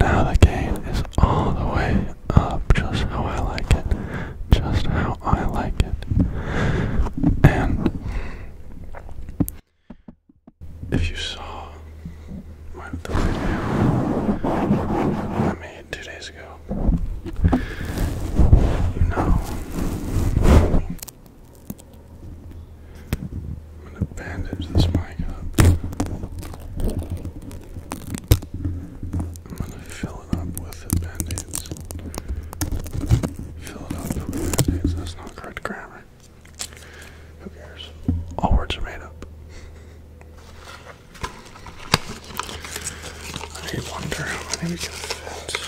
Now the gain is all the way up, just how I like it, just how I like it. And if you saw my the I made two days ago, you know I'm gonna bandage this mic up it up with band-aids. Fill it up with band-aids. That's not correct grammar. Who cares? All words are made up. I wonder how many we can fit.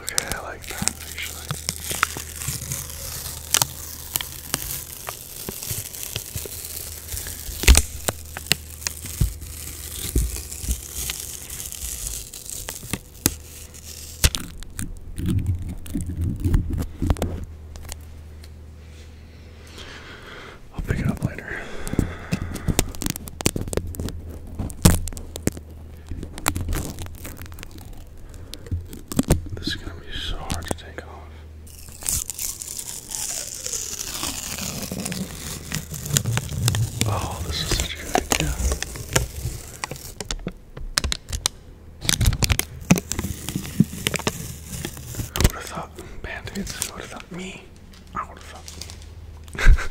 Okay, I like that actually. I'll pick it up later. This is gonna be so hard to take off. Oh, this is such a good idea. Who would have thought band-aids? Who would have thought me? I would have thought.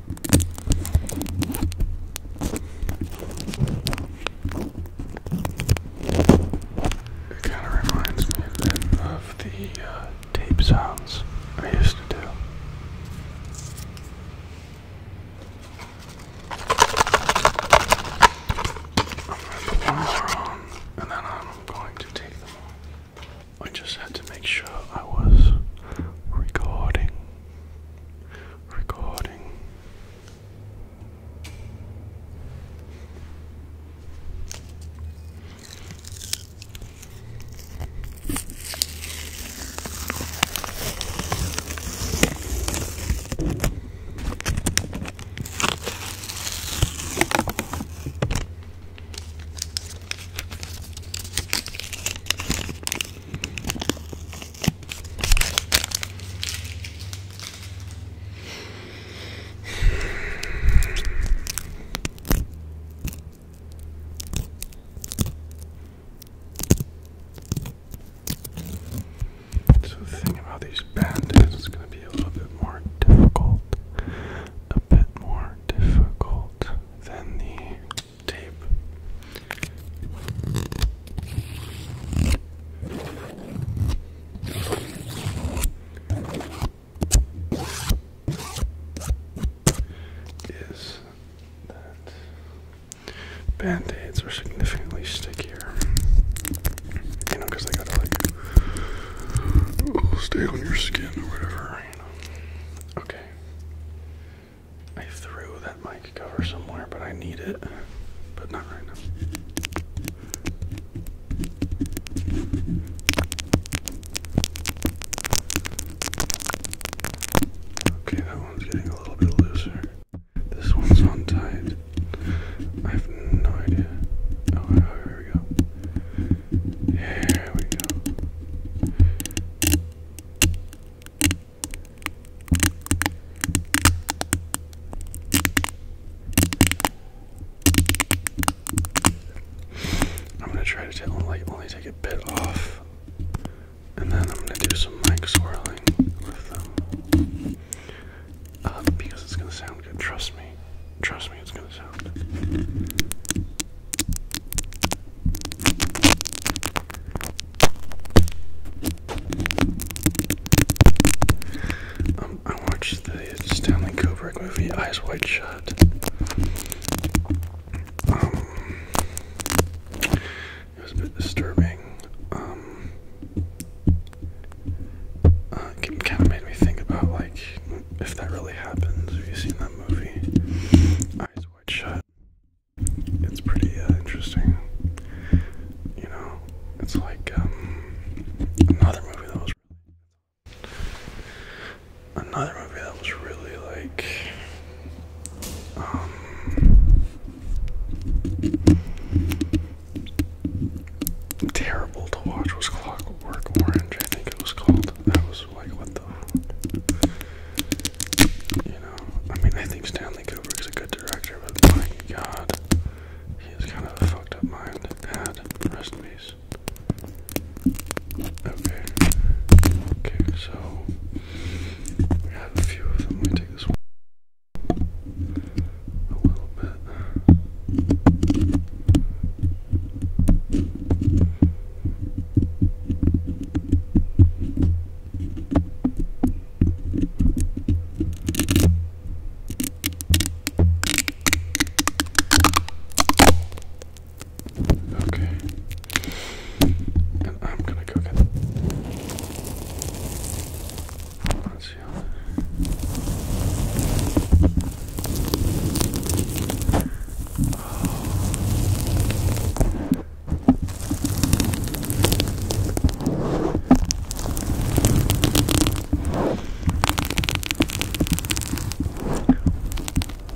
It kind of reminds me of the uh, tape sounds I used to do. I'm going to put these on and then I'm going to take them I just had to make sure I was recording recording. So the thing about these bandits is going to be a little bit more difficult, a bit more difficult than the tape is that band-aids are significantly stickier. You know, they gotta like stay on your skin or whatever, you know. Okay. I threw that mic cover somewhere, but I need it. But not right now. Okay, that one's getting a little bit looser. This one's untied. I have no idea. Oh, oh here we go. Here we go. I'm gonna try to take only take a bit off, and then I'm gonna do some mic swirling with them uh, because it's gonna sound good. Trust me. Trust me, it's gonna sound. Um, I watched the Stanley Kubrick movie Eyes Wide Shut. Um, it was a bit disturbing. Um, uh, it kind of made me think about if that really happens. Have you seen that movie? Eyes Wide Shut. It's pretty uh, interesting. You know, it's like um, another movie that was another movie that was really like um, terrible to watch was Clockwork Orange. I think it was called. That was like, what the You know, I mean, I think Stanley Kubrick's a good director, but my god, he has kind of a fucked up mind. rest in peace. Okay. Okay, so we have a few of them. Let take this one a little bit. Okay. And I'm gonna go get.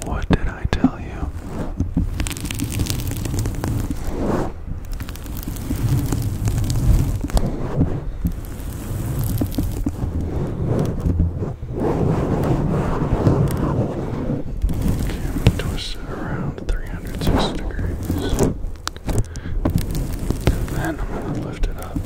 What did I tell you? Okay, twist it around 360 degrees. And then I'm going to lift it up.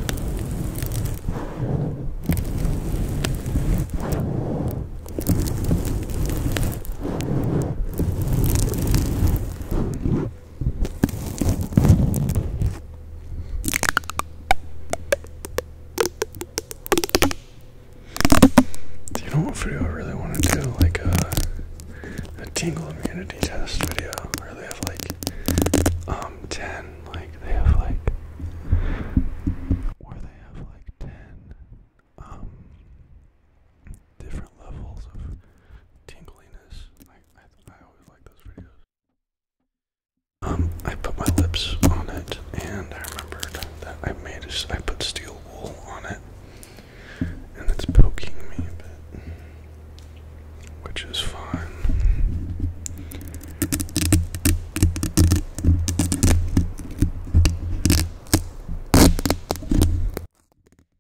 Do you know what video I really want to do? Like a, uh, a tingle immunity test video where they have like um ten like they have like where they have like ten um different levels of tingliness. I I always like those videos. Um, I put my lips on it, and I remembered that I made a, I put steel wool on it, and it's poking me a bit, which is fine.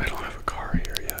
I don't have a car here yet.